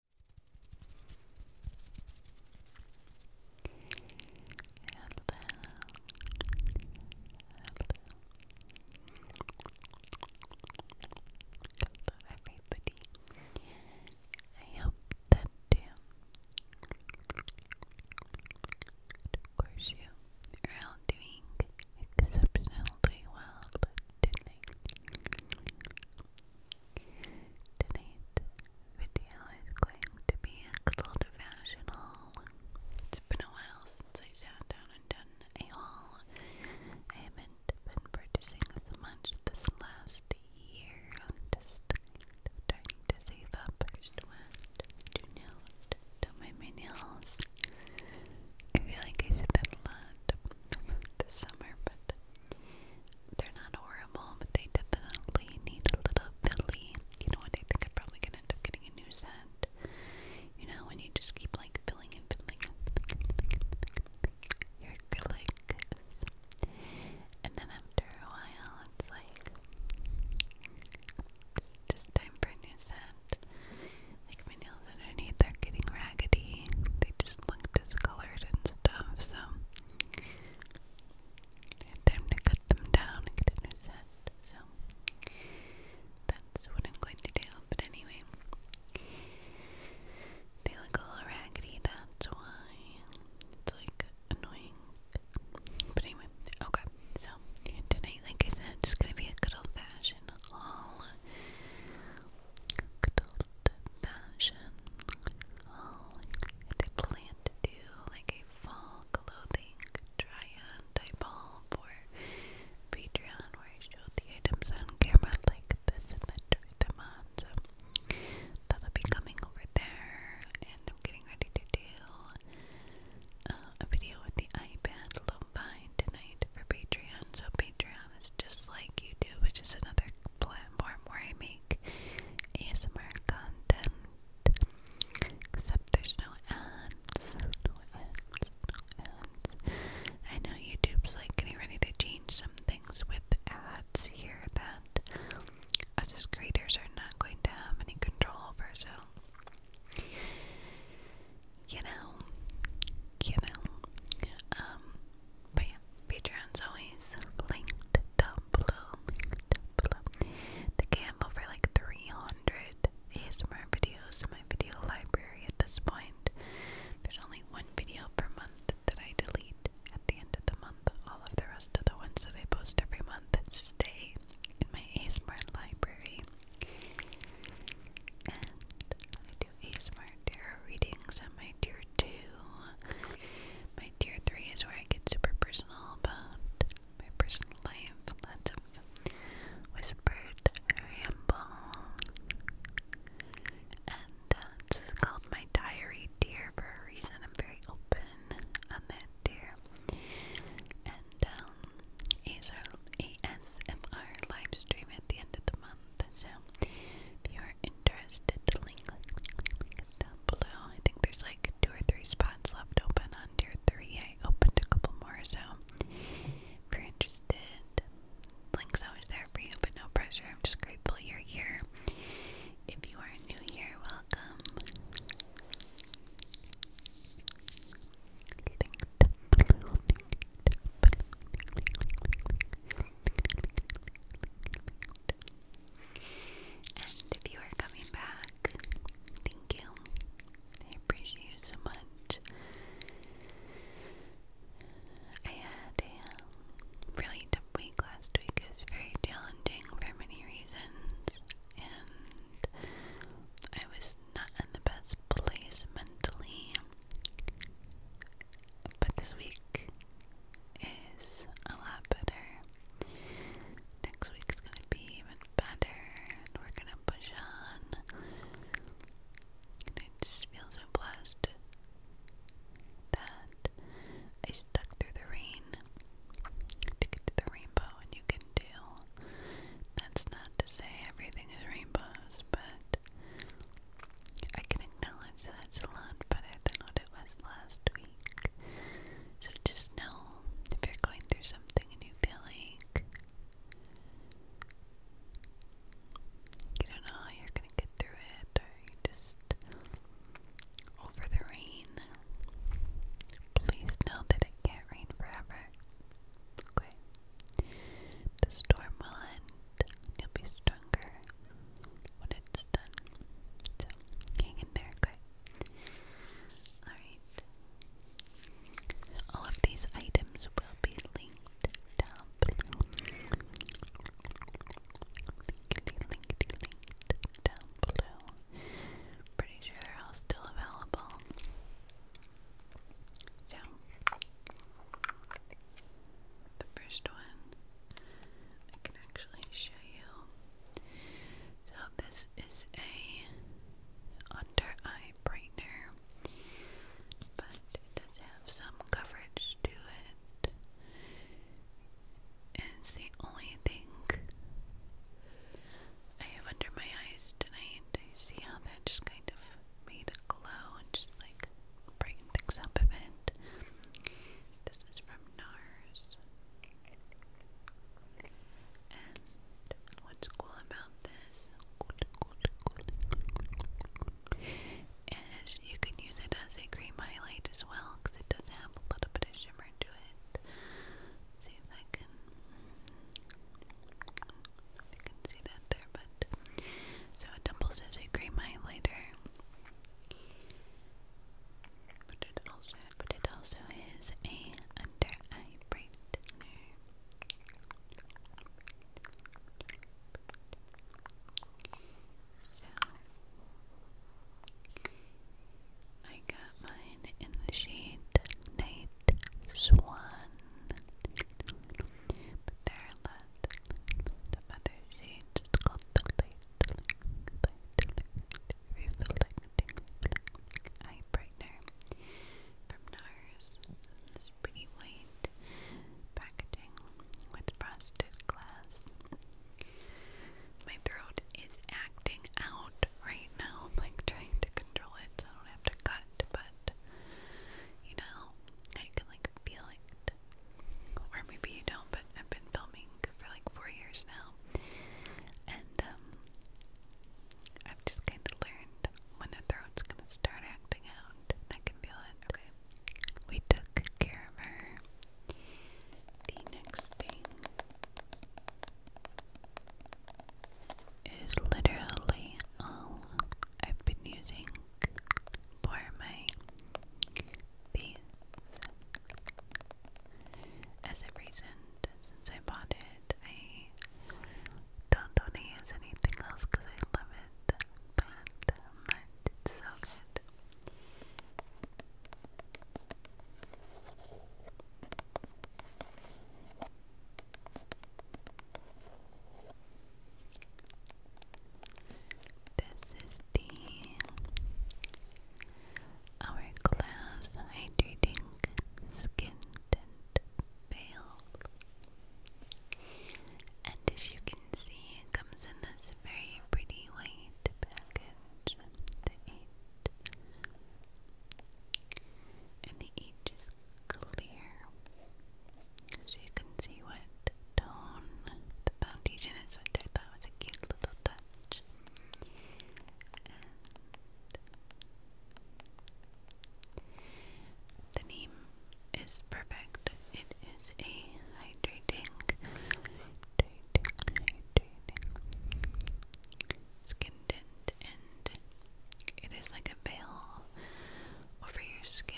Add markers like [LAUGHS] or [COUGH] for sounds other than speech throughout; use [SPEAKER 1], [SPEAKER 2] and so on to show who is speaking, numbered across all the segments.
[SPEAKER 1] hello everybody. I hope that um, of course you are all doing exceptionally well Today's video is going to be a cold professional. It's been a while since I sat down and done a haul. I haven't been practicing as much this last year. I'm just kind of trying to save up. First one my nails. I feel like I said that a lot, this summer, but they're not horrible, but they definitely need a little filly. You know what? I think I'm probably gonna end up getting a new scent. You know, when you just keep like filling and filling you're good, like this. And then after a while, it's like just time for a new scent. Like my nail nails underneath are getting raggedy. They just look discolored and stuff, so time to cut them down and get a new set. So that's what I'm going to do. But anyway, they look all raggedy, that's why. It's like annoying. But anyway, okay. So tonight, like I said, it's gonna be a good old fashioned haul adult fashion. All they plan to do, like a fall clothing try-on type haul for Patreon, where I show the items on camera like this and then try them on. So that'll be coming over there, and I'm getting ready to do a video with the iPad lo-fi tonight donate for Patreon. So Patreon is just like YouTube, which is another platform where I make ASMR content. Except there's no ads. I know YouTube's like getting ready to change some things with ads here that us creators are not going to have any control over, so you know, you know, um, but yeah, Patreon's always linked down below. Linked over like 300 ASMR videos in my video library at this point. There's only one video per month that I delete at the end of the month. All of the rest of the ones that I post every month stay in my ASMR library do ASMR tarot readings on my tier 2. My tier 3 is where I get super personal about my personal life. Lots whispered ramble. And uh, called my diary dear, for a reason. I'm very open on that dear, And um, ASMR live stream at the end of the month. Um, so if you are interested, the link, is down below. I think there's like two or three spots left open under three. I opened a couple more, so if you're interested, link's always there for you, but no pressure. I'm just grateful you're here. If you are new here, welcome. And if you are coming back, thank you. I appreciate you so much. I had a um, really tough week last week. It was very challenging for many reasons, and I was not in the best place mentally. But this week is a lot better. Next week's gonna be even better, we're gonna push on. I just feel so blessed that I stuck through the rain to get to the rainbow, and you can too. That's not to say everything is rainbows, but I can acknowledge that's a lot better than what it was last week. So just know if you're going through something you feel like you don't know how you're gonna get through it, or you just over the rain. Please know that it can't rain forever. Okay. The storm will end, and you'll be stronger when it's done. So, hang in there, okay? Alright. All of these items will be linked down below. Linked, linked, linked down below. Pretty sure they're all still available. So, the first one I can actually show you. So, this is a under eye brightener, but it does have some coverage to it. And it's the only thing I have under my eyes tonight. I see how that just kind of made a glow and just like bringing things up a bit. This is from NARS. And what's cool about this is you can use it as a cream highlight as well because it does have a little bit of shimmer to it. See if I can you can see that there, but so it doubles as a cream highlighter. But it also, but it also is a under eye brightener. So I got mine in the shade Night Swan. But there are other shades. It's called the light, light, eye brightener from NARS. This pretty white packaging with frosted glass. My throat is acting out right now, like trying to control it I don't have to cut, but you know, how can like feel it. Or maybe you don't, but I've been filming for like four years now. And um, I've just kind of learned when the throat's gonna start acting out. I can feel it. Okay. We took care of her. The next thing is literally all I've been using for my face as of recent since I bought it. I don't want to use anything else because I love it that It's so good. This is the Hourglass Hydrating Skin Tint Veil. And as you can see, it comes in this very pretty white package. The eight. And the each is clear so you can see what tone the foundation is, which I thought was a cute little touch. the name is perfect. It is a hydrating, hydrating, hydrating, skin tint and it is like a veil over your skin.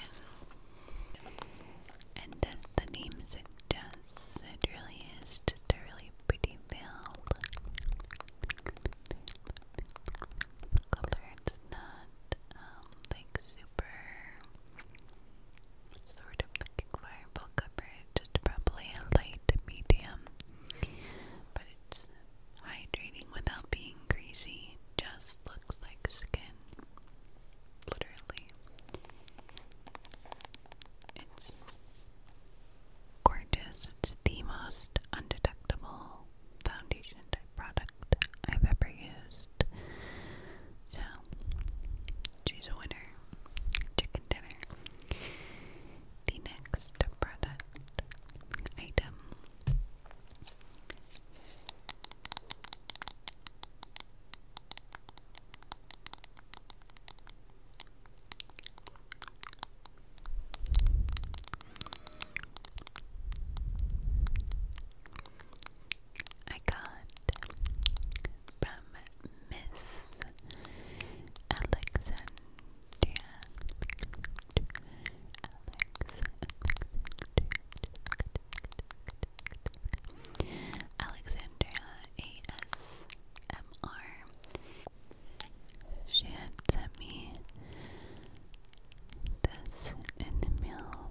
[SPEAKER 1] And as the name suggests, it really is just a really pretty veil. color it's not um, like super sort of looking for coverage. It's probably a light medium, but it's Hydrating without being greasy just looks like skin. Literally. It's gorgeous. It's the most undetectable foundation type product I've ever used. So, she's a winner. Chicken dinner. The next product item I got from Miss Alexandra Alexandria ASMR. She had sent me this in the mail,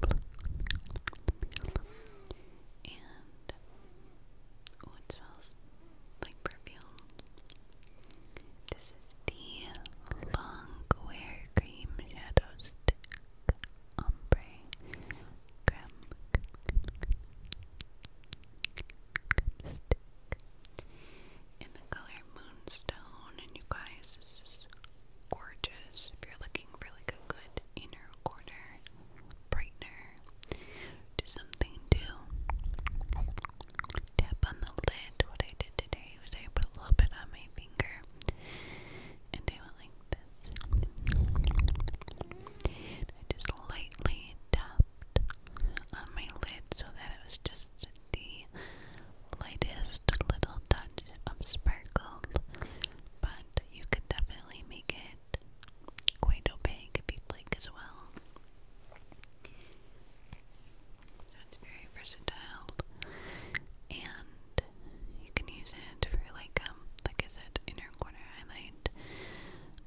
[SPEAKER 1] and oh, it smells like perfume. This is the long Longwear Cream Shadow Stick Ombre Creme, Stick in the color Moonstone. And you guys, this is gorgeous. If you're looking for like a good inner corner brightener, do something to tap on the lid. What I did today was I put a little bit on my finger and I went like this. I just lightly tapped on my lid so that it was just the lightest little touch of sparkle. But you could definitely make it quite opaque if you'd like as well. So it's very versatile, and you can use it for like um, like I said, inner corner highlight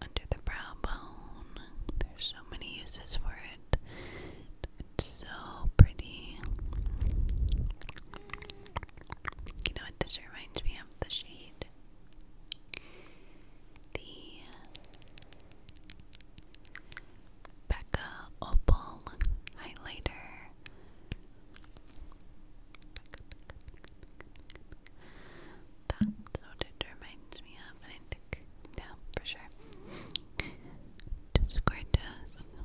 [SPEAKER 1] under the brow bone. There's so many uses for it. It's so pretty. You know what this reminds me of? The shade. The Becca Opal Highlighter. That's what it reminds me of, I think, yeah, for sure. Discordus.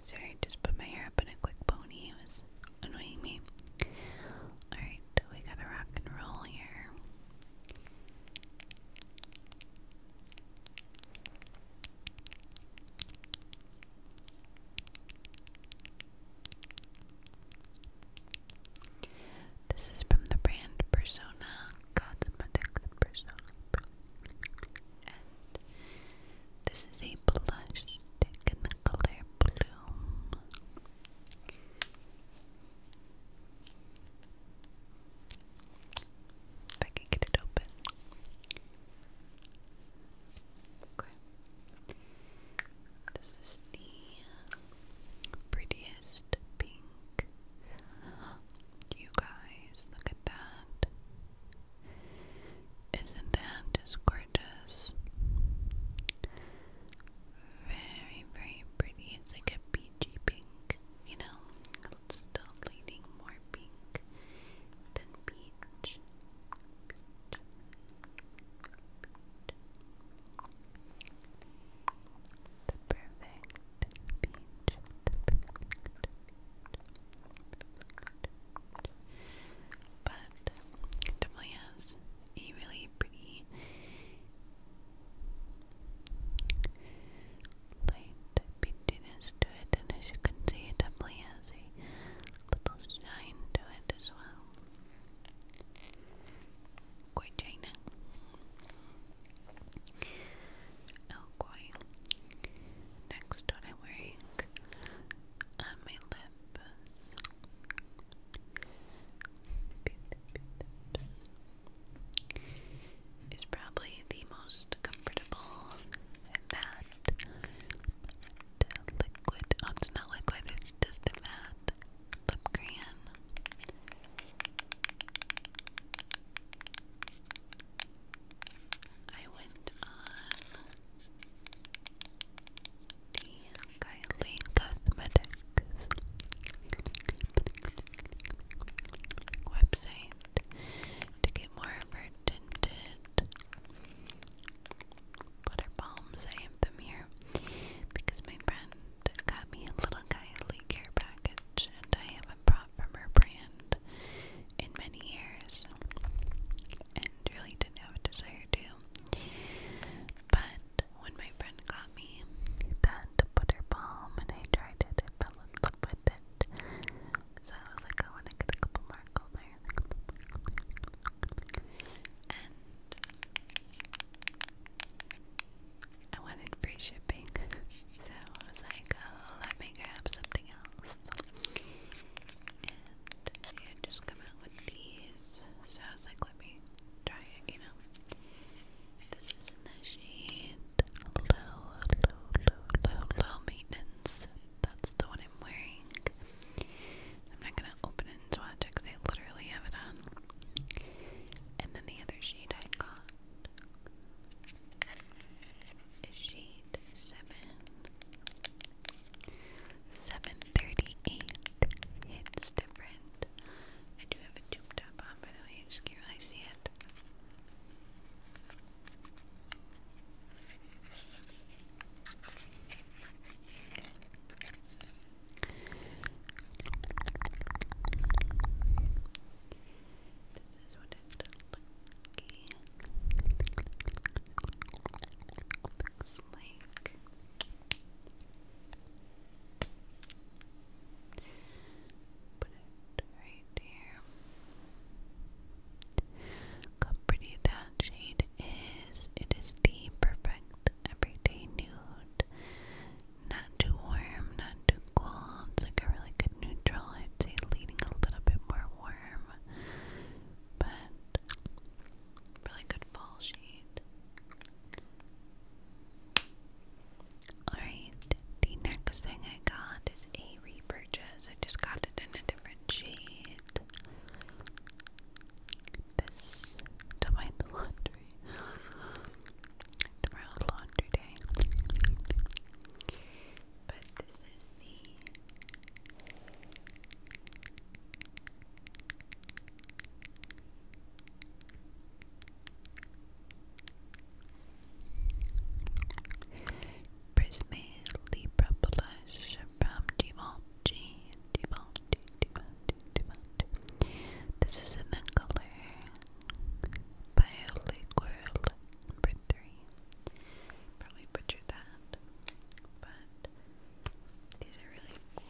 [SPEAKER 1] Sorry, just put my hair up in a quick pony. It was annoying me. Alright, we gotta rock and roll here. This is from the brand Persona Cosmetics Persona, and this is a blush stick in the color Bloom. If I can get it open. Okay. This is the prettiest pink. You guys, look at that. Isn't that just gorgeous? very, very pretty. It's like a peachy pink, you know? It's still leaning more pink than peach. The perfect peach. But definitely has a really pretty light beadiness to it, and as you can see, it definitely has a little shine to it as well. Quite shining. Okay. Next, what I'm wearing on my lips Pips probably the most comfortable matte liquid. Oh, it's not liquid, it's just a matte lip crayon. I went on Kylie Cosmetics website to get more of her tinted butter balms. I have them here because my friend got me a little Kylie care package and I haven't brought from her brand in many years and really didn't have a desire to. But when my friend got me that butter balm and I tried it, I fell in love with it. So I was like, I want to get a couple more colors. And I wanted free shipping. So I was like, oh, let me grab something else. And they just come out with these. So I was like, let me try it, you know. This is in the low, low, low, low, maintenance. That's the one I'm wearing. I'm not gonna open it and swatch because I literally have it on. And then the other shade I got is shade seven. 738 hits different I do have a tube top on, by the way. You can really see it. This is what looks like. Put it right here. Look pretty that shade is. It is the perfect everyday nude. Not too warm, not too cold. It's like a really good neutral. I'd say leaning a little bit more warm. But really good fall shade. Alright, the next thing I got is a repurchase. I just got it in a different shade. This to [LAUGHS] laundry day. But this is the Prisme Libra Blush from Givenchy, Givenchy, Givenchy, Givenchy. This is an the color Violet Girl three. Probably butchered that, but these are really cool.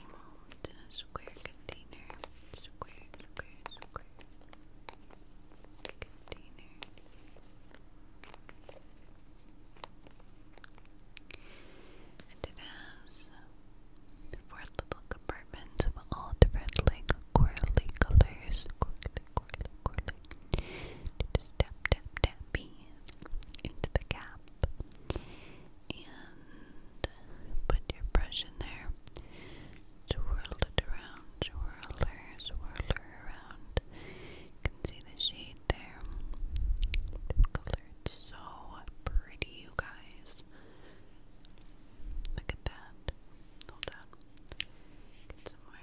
[SPEAKER 1] in a square container. Square, square, square. Container. And it has four little compartments of all different like corally colors. Corally, corally, corally. You tap, tap, tap in into the cap and put your brush in there. Swirl it around, swirler, swirler around. You can see the shade there. The color so pretty, you guys. Look at that. Hold on. Get some more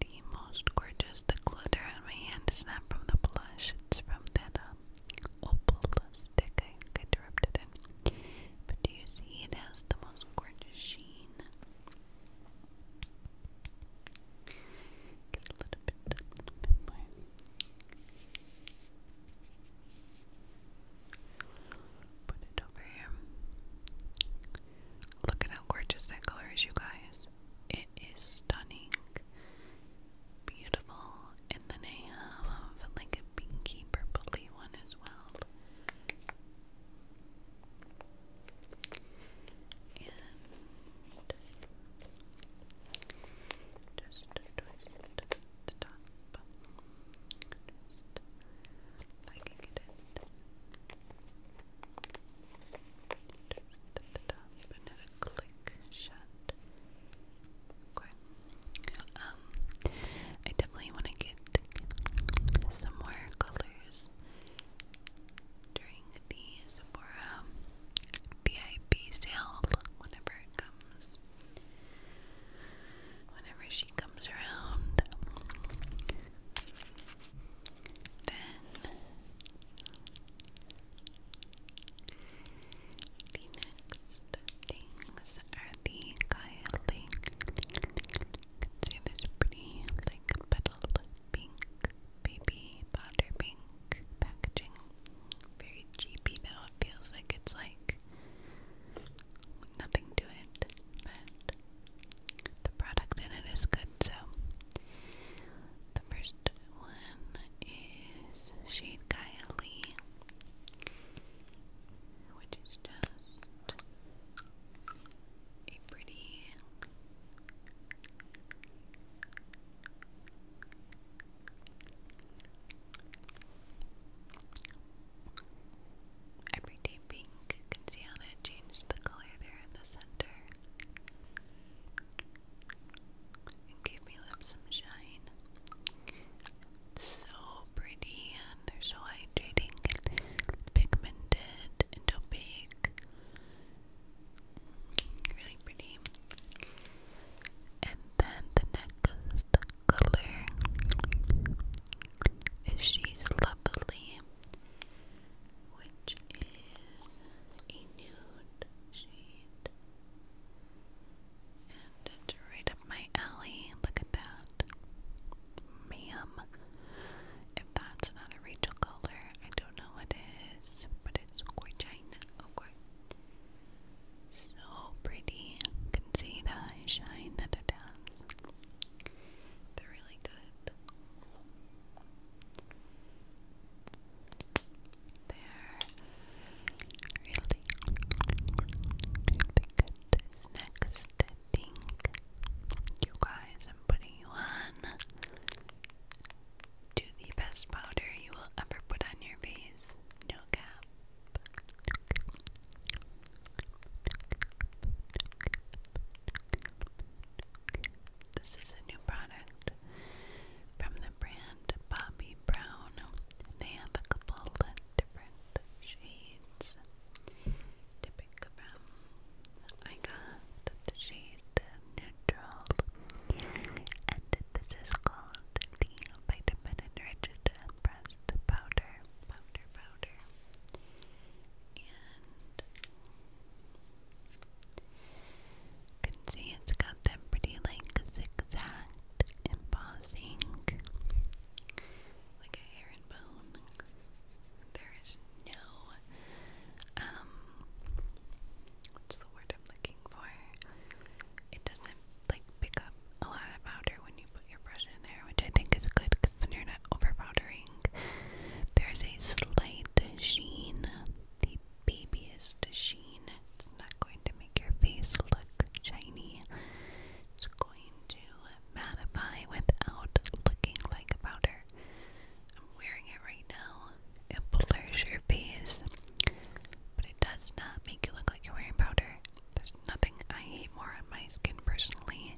[SPEAKER 1] the most gorgeous. The glitter in my hand is not from the blush, it's from that um, opal stick I dropped it But do you see it has the most gorgeous sheen? a little bit, Put it over here. Look at how gorgeous that color is, you guys. It is stunning, beautiful, and then I have um, like a pinky purpley one as well just um, at I definitely want to get some more colors during the Sephora VIP sale, whenever it comes. Whenever she comes around, then the next things are the Kylie. See this pretty like petaled pink baby powder pink packaging. Very cheapy though, it feels like it's like nothing to it, but the product in it is good. So, the first one is Shade Kylie, which is just a pretty everyday pink. can see how that changed the color there in the center give my lips some shine. so pretty and they're so hydrating and pigmented and opaque. Really pretty. And then the next color is She's Lovely which is a nude shade. And it's right up my alley. Look at that. Ma'am. If that's not a Rachel color, I don't know what but it's gorgeous. So pretty. can see the shine that it has. They're really good. They're really, good snacks to You guys, I'm putting you on to the best powder you will ever put on your face. No cap. This is a new product from the brand Bobbi Brown. They have a couple of different shades to pick from. I got the shade Neutral, and this is called the Vitamin Enriched Pressed Powder. Powder, powder. And you can see it's got that pretty like zigzagged embossing, like a hair and bone. There is no, um, what's the word I'm looking for? It doesn't like pick up a lot of powder when you put your brush in there, which I think is good because then you're not over powdering. There's a slight sheen, the babyest sheen. It's not going to make your face look shiny. It's going to mattify without looking like powder. I'm wearing it right now. It blurs your face, but it does not make you look like you're wearing powder. There's nothing I hate more on my skin personally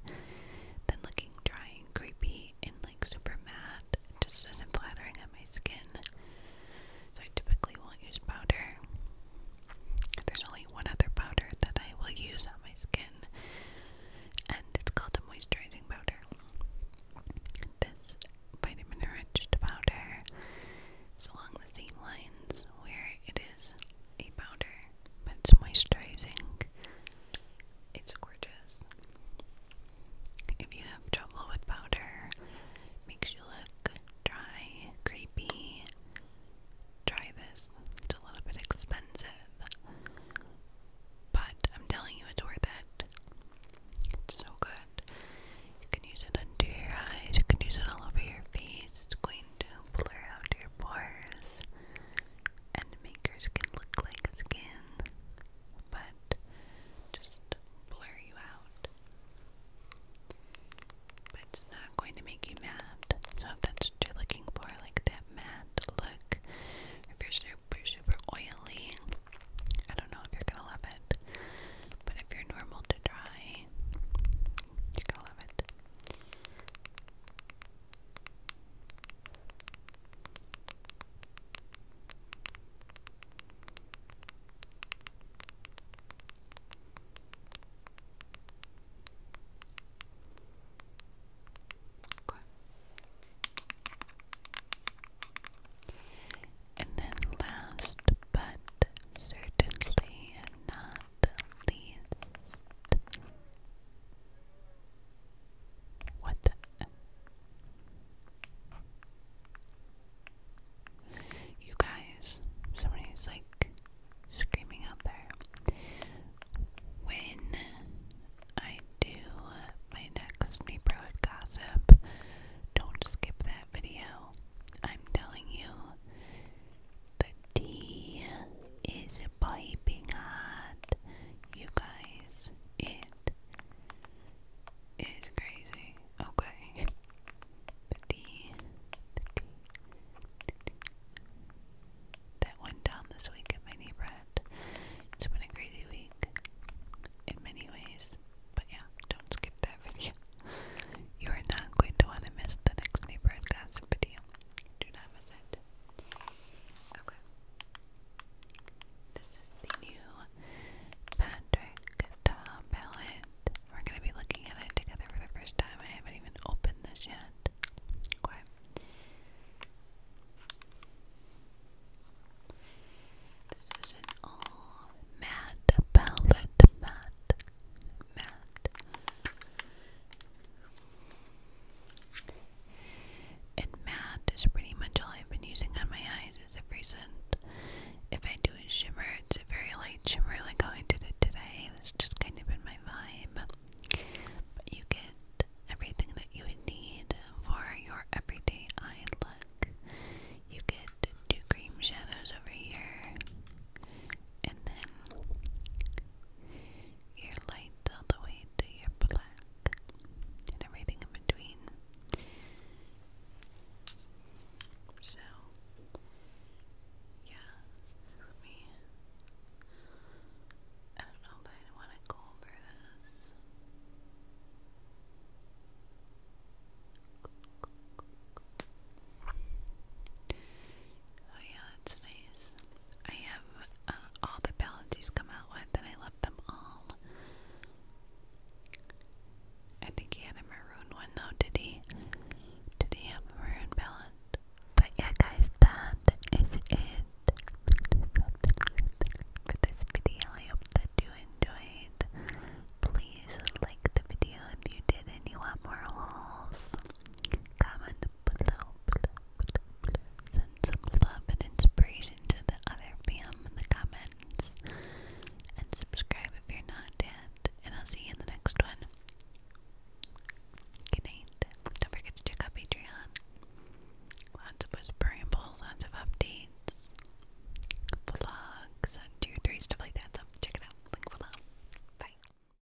[SPEAKER 1] than looking dry and creepy light and like super matte. just does not flattering on my skin. So I typically won't use powder. There's only one other powder that I will use on my skin, and it's called a moisturizing powder. This vitamin enriched powder is along the same lines where it is a powder, but it's moisturizing it's gorgeous. If you have trouble with powder, makes you look dry, creepy. Try this. It's a little bit expensive. But I'm telling you it's worth it. It's so good. You can use it under your eyes, you can use it all over your face. It's going to blur out your pores and makers can look like skin, but just blur you out. But it's not going to make you mad. So if that's what you're looking for, like that matte look, if you're super, super oily, I don't know if you're gonna love it. But if you're normal to dry, you're gonna love it. Okay. And then last but certainly not least what the? You guys, somebody's like screaming out there. When I do my next neighborhood gossip, don't skip that video. I'm telling you, D is piping hot, you guys. It is crazy. Okay. The D, That went down this week at my neighborhood. It's been a crazy week in many ways. But yeah, don't skip that video. You are not going to want to miss the next neighborhood gossip video. Do not miss it. Okay. This is the new Patrick Ta palette. We're gonna be looking at it together for the first time. I haven't even opened this yet. Okay. This is an all matte palette, matte, matte. And matte is pretty much all I've been using on my eyes as of recent. If I do a shimmer, it's a very light shimmer like how I did it today. That's just kind of been my vibe. But you get everything that you would need for your everyday eye look. You get two cream shadows over here, and then your light all the way to your black, and everything in between. So, yeah, let me. I don't know if I want to go over this. Oh, yeah, that's nice. I have uh, all the palettes he's come out with, and I love them all. I think he had a maroon one though, did he? Did he have a maroon palette? But yeah, guys, that is it for this video. I hope that you enjoyed. Please like the video if you did and you want more hauls. Comment below, below, some love and inspiration to the other fam in the comments. And subscribe if you're not yet. And I'll see you in the next one. Good Don't forget to check out Patreon. Lots of whispering bowls, lots of updates, vlogs two, three, stuff like that. check it out. Link below. Bye.